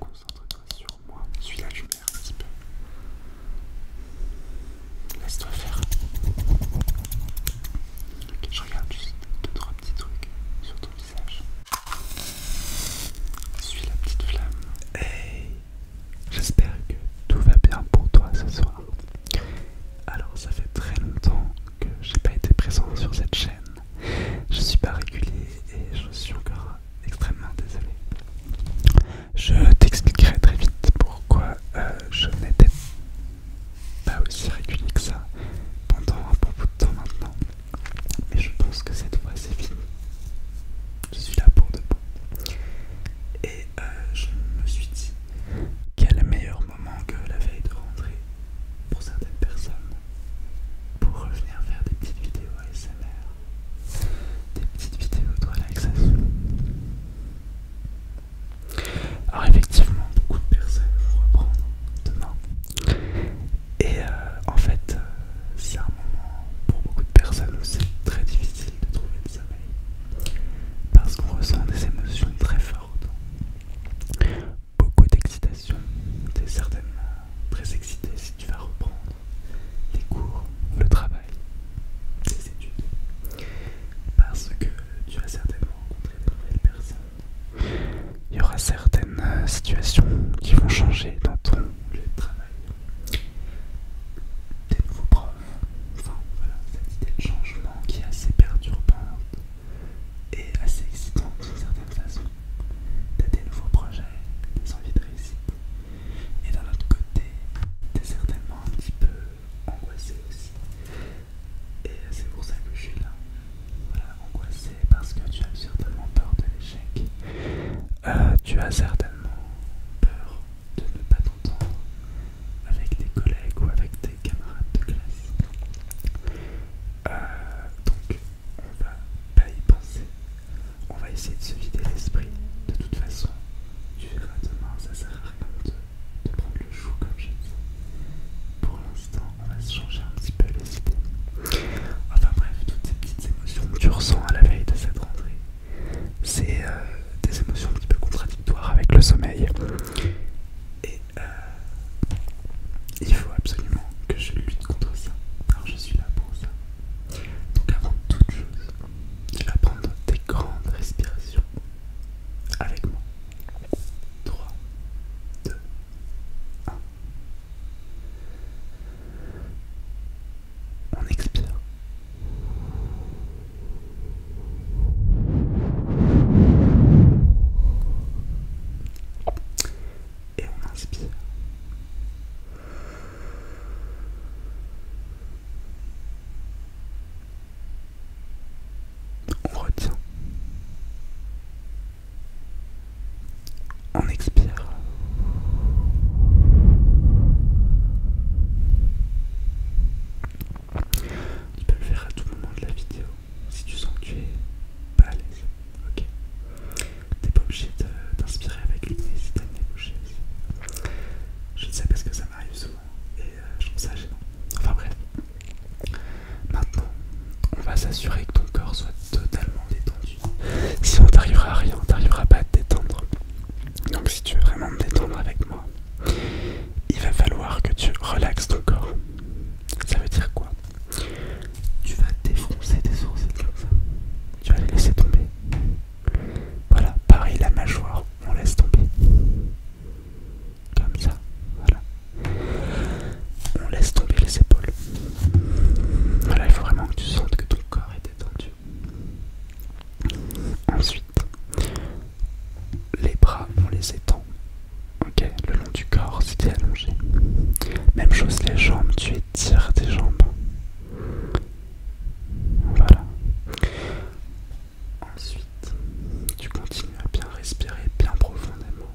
Concentre-toi sur moi. suis la lumière un petit peu. Laisse-toi faire. je regarde juste deux, trois petits trucs sur ton visage. Suis la petite flamme. Hey J'espère que tout va bien pour toi ce soir. Alors, ça fait très longtemps que j'ai pas été présent sur cette chaîne. Je suis pas régulier et je suis encore extrêmement désolé. Je t'expliquerai très vite pourquoi euh, je n'étais pas aussi régulier que ça pendant un bon bout de temps maintenant. Mais je pense que cette fois c'est fini. Je suis là pour de bon. Et euh, je me suis dit, quel meilleur moment que la veille de rentrer pour certaines personnes pour revenir faire des petites vidéos ASMR, des petites vidéos de relaxation. Alors effectivement, beaucoup de personnes vont reprendre demain. Et euh, en fait, euh, c'est un moment pour beaucoup de personnes où c'est très difficile de trouver des amis parce qu'on ressent des émotions très fortes, beaucoup d'excitation, es certainement très excité si tu vas reprendre les cours, le travail, les études, parce que tu vas certainement rencontrer de nouvelles personnes. Il y aura certaines euh, situations qui vont changer dans ton lieu de travail, des nouveaux profs, enfin voilà, cette idée de changement qui est assez perturbante et assez excitante d'une certaine façon. T'as des nouveaux projets, des envies de réussite, et d'un autre côté, t'es certainement un petit peu angoissé aussi. Et c'est pour ça que je suis là, voilà, angoissé parce que tu as certainement peur de l'échec, euh, tu as certainement peur de ne pas t'entendre avec tes collègues ou avec tes camarades de classe. Euh, donc, on va pas y penser. On va essayer de se vider l'esprit. De toute façon, tu verras demain, ça sert à rien de, prendre le chou comme je Pour l'instant, on va se changer un petit peu les idées. Enfin bref, toutes ces petites émotions que tu ressens à la veille de cette rentrée, c'est euh, des émotions un petit peu contradictoires avec le sommeil. Et euh, il faut absolument que je lutte contre ça. Alors je suis là pour ça. Donc avant toute chose, tu vas prendre des grandes respirations avec moi. 3, 2, 1 on expire. Et on inspire. On retient. On expire. Tu peux le faire à tout moment de la vidéo si tu sens que tu es pas à l'aise. Ok. T'es pas obligé d'inspirer avec lui, si t'as Je ne sais parce que ça m'arrive souvent et euh, je trouve ça gênant. Enfin bref. Maintenant, on va s'assurer que ton corps soit totalement détendu. Si on t'arrivera à rien, on t'arrivera pas à te détendre. Donc si tu veux vraiment me détendre avec moi, il va falloir que tu relaxes ton corps. Ça veut dire quoi Tu vas défoncer tes sourcils comme ça. Tu vas les laisser tomber. Voilà, pareil la mâchoire, on laisse tomber. Comme ça, voilà. On laisse tomber les épaules. Voilà, il faut vraiment que tu sentes que ton corps est détendu. Ensuite, les bras, on les étend. Ok, le long du corps, si es allongé. Même chose les jambes, tu étires tes jambes. Voilà. Ensuite, tu continues à bien respirer bien profondément.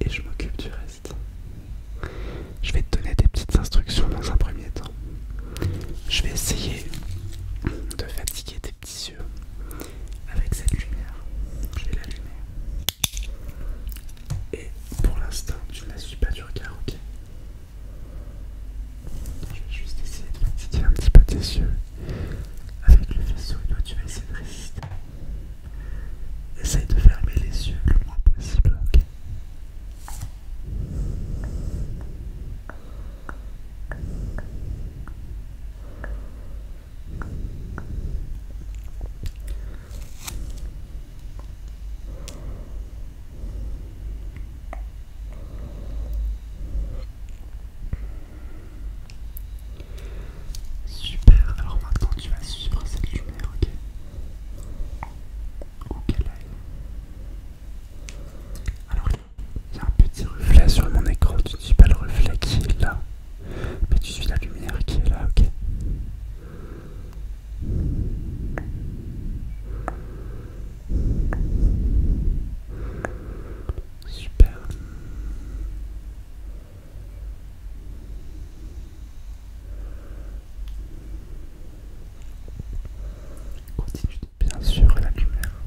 Et je m'occupe du reste. Je vais te donner des petites instructions dans un premier temps. Je vais essayer de fatiguer tes petits yeux avec cette lumière. Je vais l'allumer. Et pour l'instant, tu ne la suis pas du regard, ok Je vais juste essayer de fatiguer un petit peu tes yeux. Avec le faisceau, tu vas essayer de résister. Essaye de fermer les yeux le moins possible, ok Super, alors maintenant tu vas suivre cette lumière, ok Où qu'elle aille, alors il y a un petit reflet sur mon écran, tu ne suis pas le reflet qui est là, mais tu suis la lumière qui est là, ok Super. Continue bien sûr la lumière.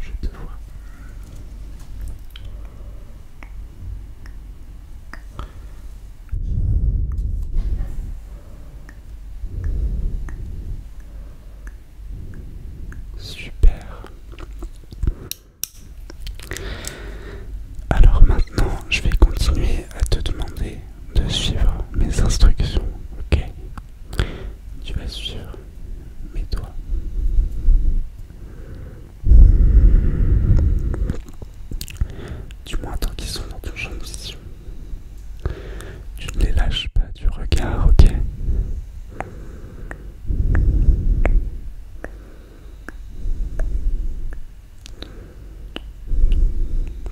Je te vois. Super. Alors maintenant, je vais continuer à te demander de suivre mes instructions, ok Tu vas suivre mes doigts. Du moins tant qu'ils sont dans ton champ de vision. Tu ne les lâches pas du regard, ok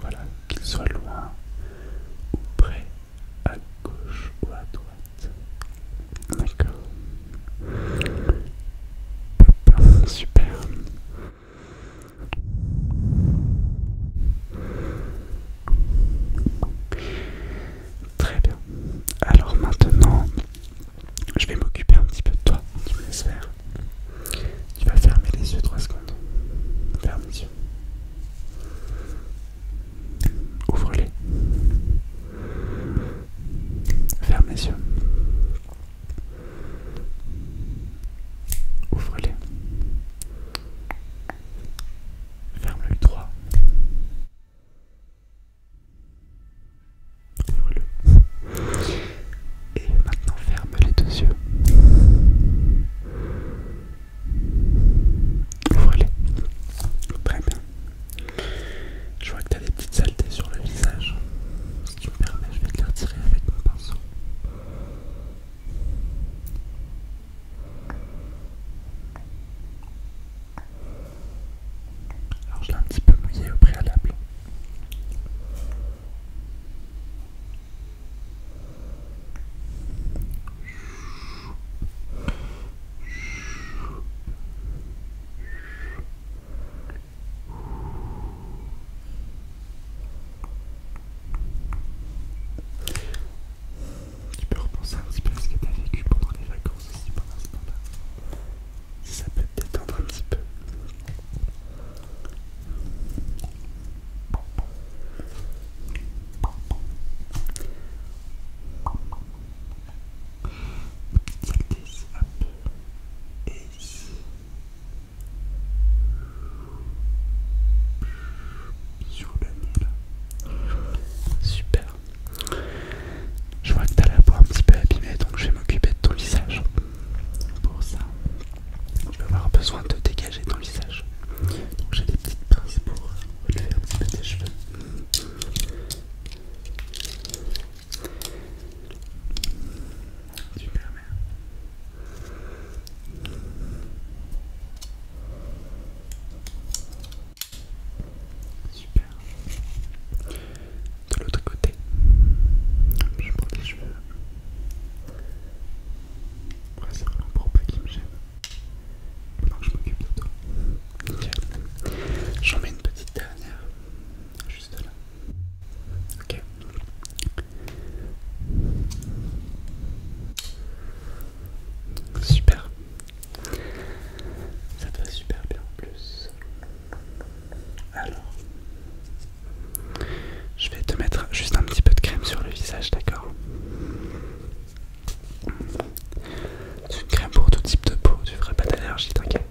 voilà, qu'il soit loin ou près, à gauche ou à droite. D'accord. Super. Très bien. Alors maintenant, je vais m'occuper un petit peu de toi. Tu me laisses faire. Tu vas fermer les yeux trois secondes. Ferme les yeux. Ouvre-les. Ferme les yeux. Ouvre-les. Ferme-le trois. Ouvre-le. Et maintenant ferme les deux yeux. Voilà. les Très bien. Je vois que tu as des petites saletés sur le visage. Si tu me permets, je vais te les retirer avec mon pinceau. Alors je l'ai un petit peu mouillé au préalable. Tu peux repenser un petit peu à ce que tu as vécu pendant les vacances aussi pendant ce temps là Ça peut t'étendre un petit peu. Super. Je vois que t'as la peau un petit peu abîmée, donc je vais m'occuper de ton visage. Pour ça, tu vas avoir besoin de dégager ton visage. Donc j'ai des petites pinces pour relever un petit peu tes cheveux. Super merde. Super. De l'autre côté, je prends des cheveux. Ouais, c'est vraiment pour pas qu'il me gêne. Non, je m'occupe de toi. Tiens, J'en mets une petite dernière. Juste là. Ok. Super. Ça te va super bien en plus. Alors, je vais te mettre juste un petit peu de crème sur le visage, d'accord C'est une crème pour tout type de peau, tu ferais pas d'allergie, t'inquiète.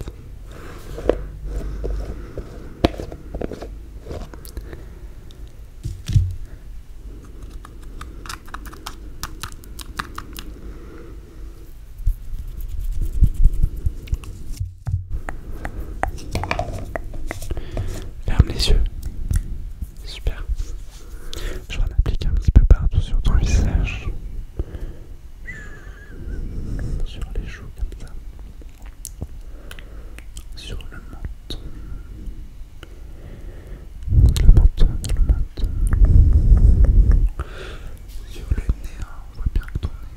Ferme les yeux. Super. Je vais en appliquer un petit peu partout sur ton visage. Sur les joues comme ça. Sur le menton. Le menton, le menton. Sur le nez, hein. on voit bien que ton nez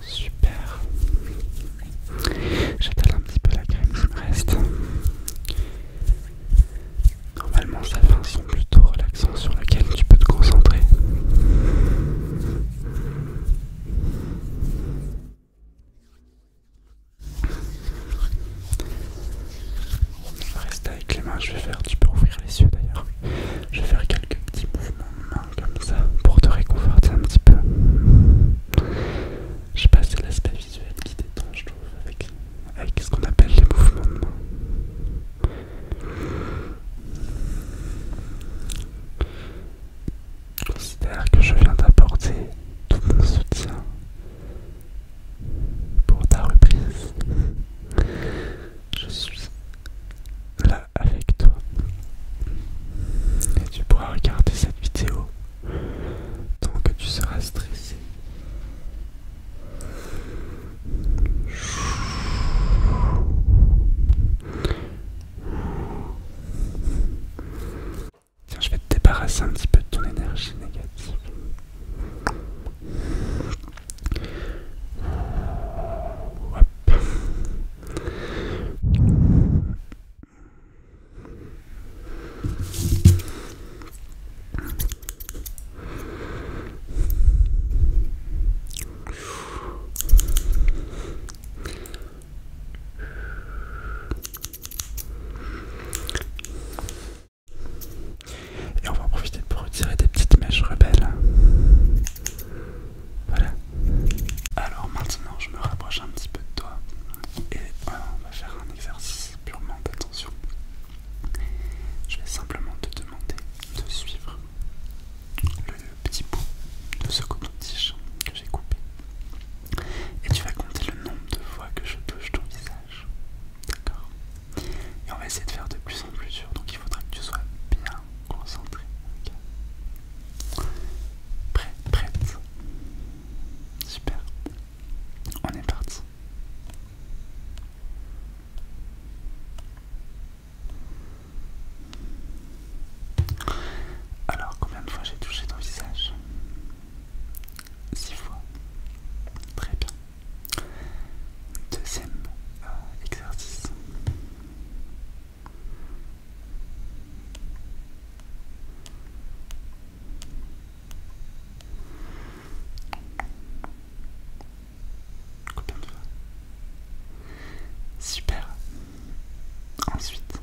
Super. J'étale un petit peu la crème qui me reste. Normalement, ça fait un plutôt relaxant sur laquelle tu peux te concentrer. Reste avec les mains, je vais faire, tu peux ouvrir les yeux d'ailleurs. Je vais faire quelques petits mouvements de main comme ça pour te réconforter un petit peu. Je sais pas, c'est l'aspect visuel qui détend, je trouve, avec, ce qu'on appelle les mouvements de main. Considère que je viens d'apporter tout mon soutien pour ta reprise. Je suis là avec toi. Et tu pourras regarder cette vidéo tant que tu seras stressé. Tiens, je vais te débarrasser un petit peu de ton énergie négative. Et on va en profiter pour retirer des petites mèches rebelles. Voilà. Alors maintenant, je me rapproche un petit peu de toi et on va faire un exercice purement d'attention. Je vais simplement te demander de suivre le petit bout de ce coton-tige que j'ai coupé. Et tu vas compter le nombre de fois que je touche ton visage. D'accord Et on va essayer de faire de plus en plus dur, donc il faudra que tu sois bien, Concentré. ok. Prêt, prête. Super. On est parti. Alors, combien de fois j'ai touché ton visage Six fois. Très bien. Deuxième euh, exercice. Combien de fois Super. Ensuite,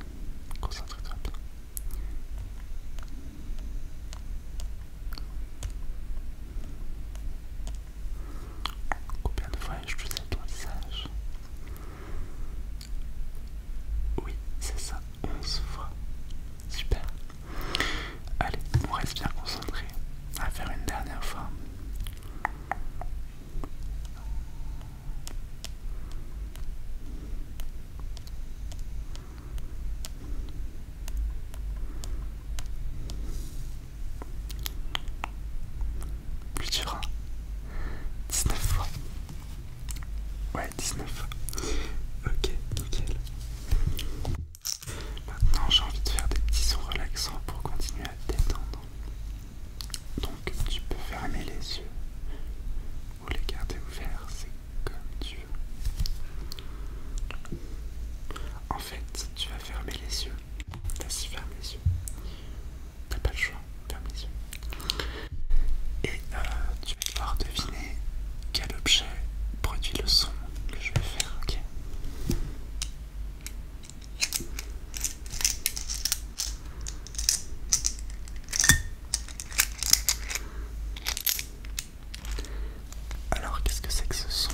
concentre-toi peu. Combien de fois ai-je touché ton visage oui, c'est ça, Onze fois. Super. Allez, on reste bien concentré. On va faire une dernière fois. Plus durant. 19 fois. Ouais, 19 fois. Ok, nickel. Maintenant, j'ai envie de faire des petits sons relaxants pour continuer à t'étendre. détendre. Donc, tu peux fermer les yeux ou les garder ouverts, c'est comme tu veux. En fait, tu vas fermer les yeux. Vas-y, ferme les yeux t'as pas le choix, ferme les Et euh, tu vas devoir deviner quel objet produit le son que je vais faire, ok alors, qu'est-ce que c'est que ce son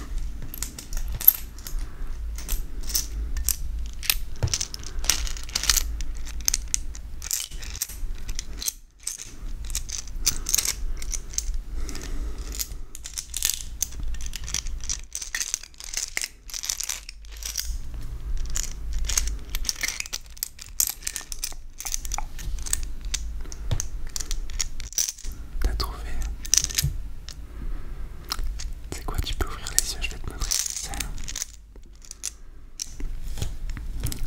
T'as trouvé C'est quoi Tu peux ouvrir les yeux, je vais te montrer.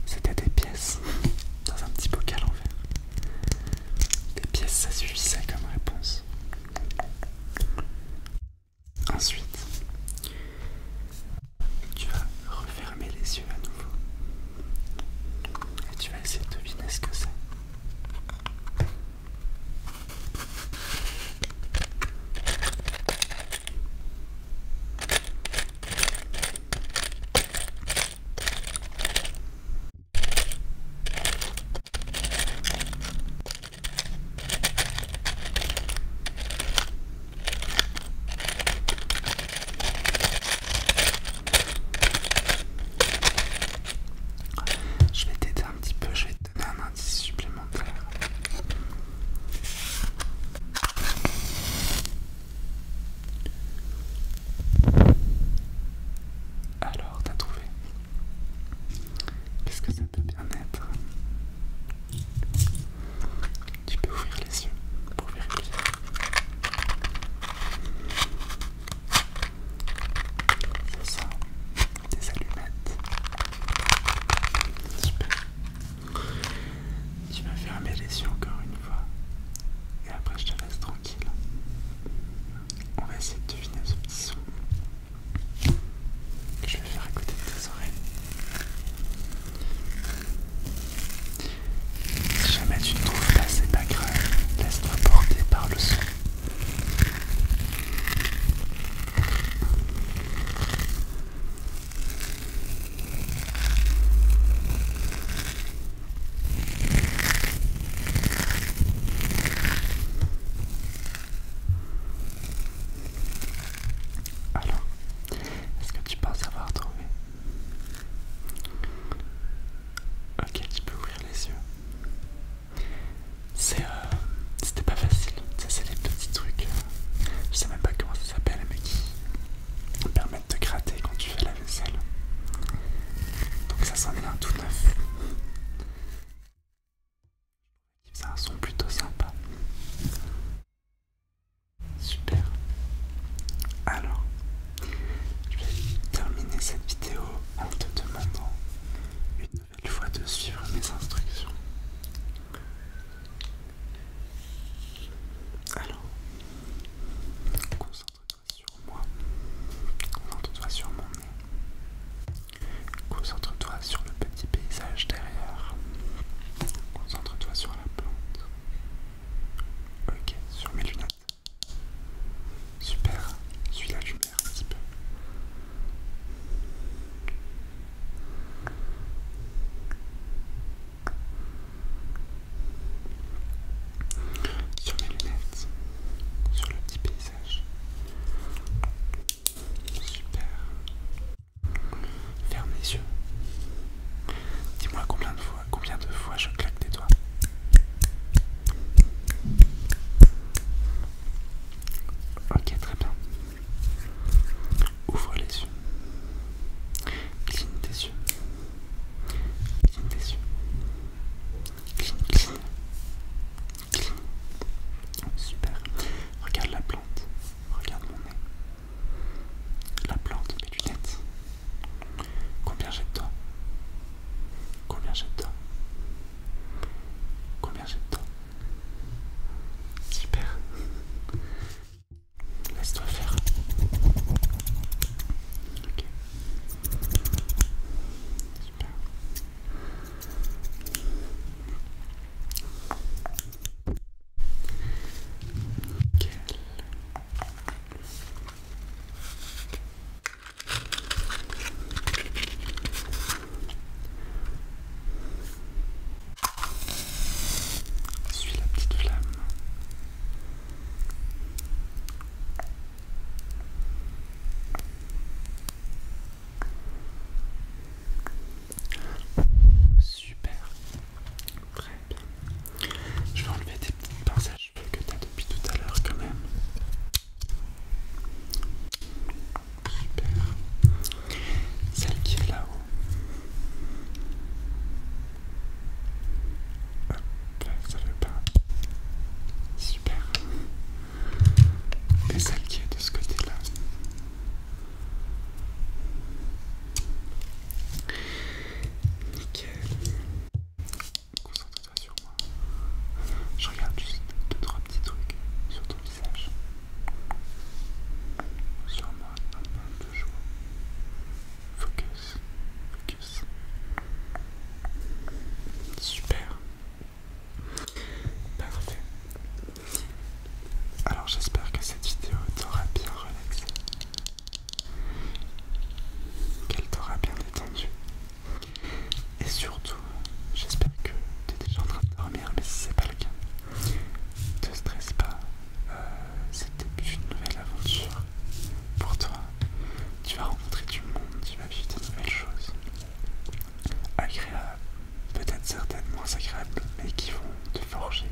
C'était des pièces dans un petit bocal en verre. Des pièces, ça suffisait comme réponse. Ensuite, tu vas refermer les yeux à nouveau. Et tu vas essayer de deviner ce que c'est. Je vais t'aider un petit peu, je vais te donner un supplémentaire. Alors, t'as trouvé Qu'est-ce que ça peut bien être Tu peux ouvrir les yeux pour vérifier. C'est ça des allumettes. Super. Tu vas fermer les yeux encore une fois. Et après je te laisse tranquille. On va essayer de deviner ce petit son. que Je vais faire à côté de tes oreilles. Si jamais tu ne trouves pas, c'est pas Laisse-toi porter par le son. Alors, est-ce que tu penses avoir trouvé Ok, tu peux ouvrir les yeux. Euh, c'était pas facile, ça c'est les petits trucs, euh, je sais même pas comment ça s'appelle, mais qui permettent de gratter quand tu fais la vaisselle. Donc ça sent un tout neuf. Ça a un son plutôt sympa. Super. Alors, je vais terminer cette vidéo en te demandant une fois de suivre mes instructions. Alors, concentre-toi sur moi, concentre-toi sur mon nez, concentre-toi sur le petit paysage derrière, concentre-toi sur la plante. Ok, sur mes lunettes. Super, suis là sur les lunettes, sur le petit paysage. Super. Ferme les yeux. Dis-moi combien de fois, combien de fois je claque des doigts. Ok, très bien. Ouvre les yeux. Cligne tes yeux. Cligne tes yeux. Cligne, cligne. Super. Regarde la plante. Regarde mon nez. La plante, mes lunettes. Combien j'ai de temps, Combien j'ai de temps, Combien j'ai de temps, Super. Laisse-toi faire. Ok. Super. Ok suis la petite flamme. Super, très bien. Je vais enlever tes petites pinces que tu as depuis tout à l'heure quand même. Super. Celle qui est là-haut. Hop, ça veut pas. Super. Et celle qui est de ce côté-là. Nickel. Concentre-toi sur moi. Je regarde juste 2-3 petits trucs sur sur moi, un de joie. Focus, focus. Super. Parfait. Alors j'espère que cette vidéo t'aura bien relaxé. Qu'elle t'aura bien détendu. Et surtout, j'espère que tu es déjà en train de dormir, mais si c'est pas le cas, ne te stresse pas. le euh, début une nouvelle aventure pour toi. Tu vas rencontrer du monde, tu vas vivre de nouvelles choses. Agréables, peut-être certaines moins agréables, mais qui vont te forger.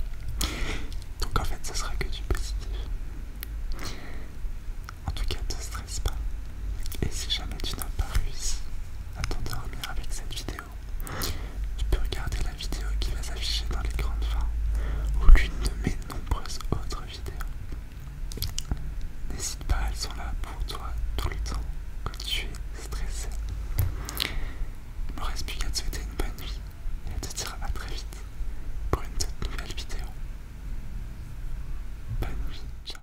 Donc en fait, ce sera que du positif. En tout cas, ne te stresse pas. Et si jamais tu n'as pas réussi à t'endormir avec cette vidéo. Tu peux regarder la vidéo qui va s'afficher dans les grandes fins ou l'une de mes nombreuses autres vidéos. N'hésite pas, elles sont là pour toi tout le temps quand tu es stressé. Il me reste plus qu'à te souhaiter une bonne nuit et à te dire à très vite pour une nouvelle vidéo. Bonne nuit, ciao.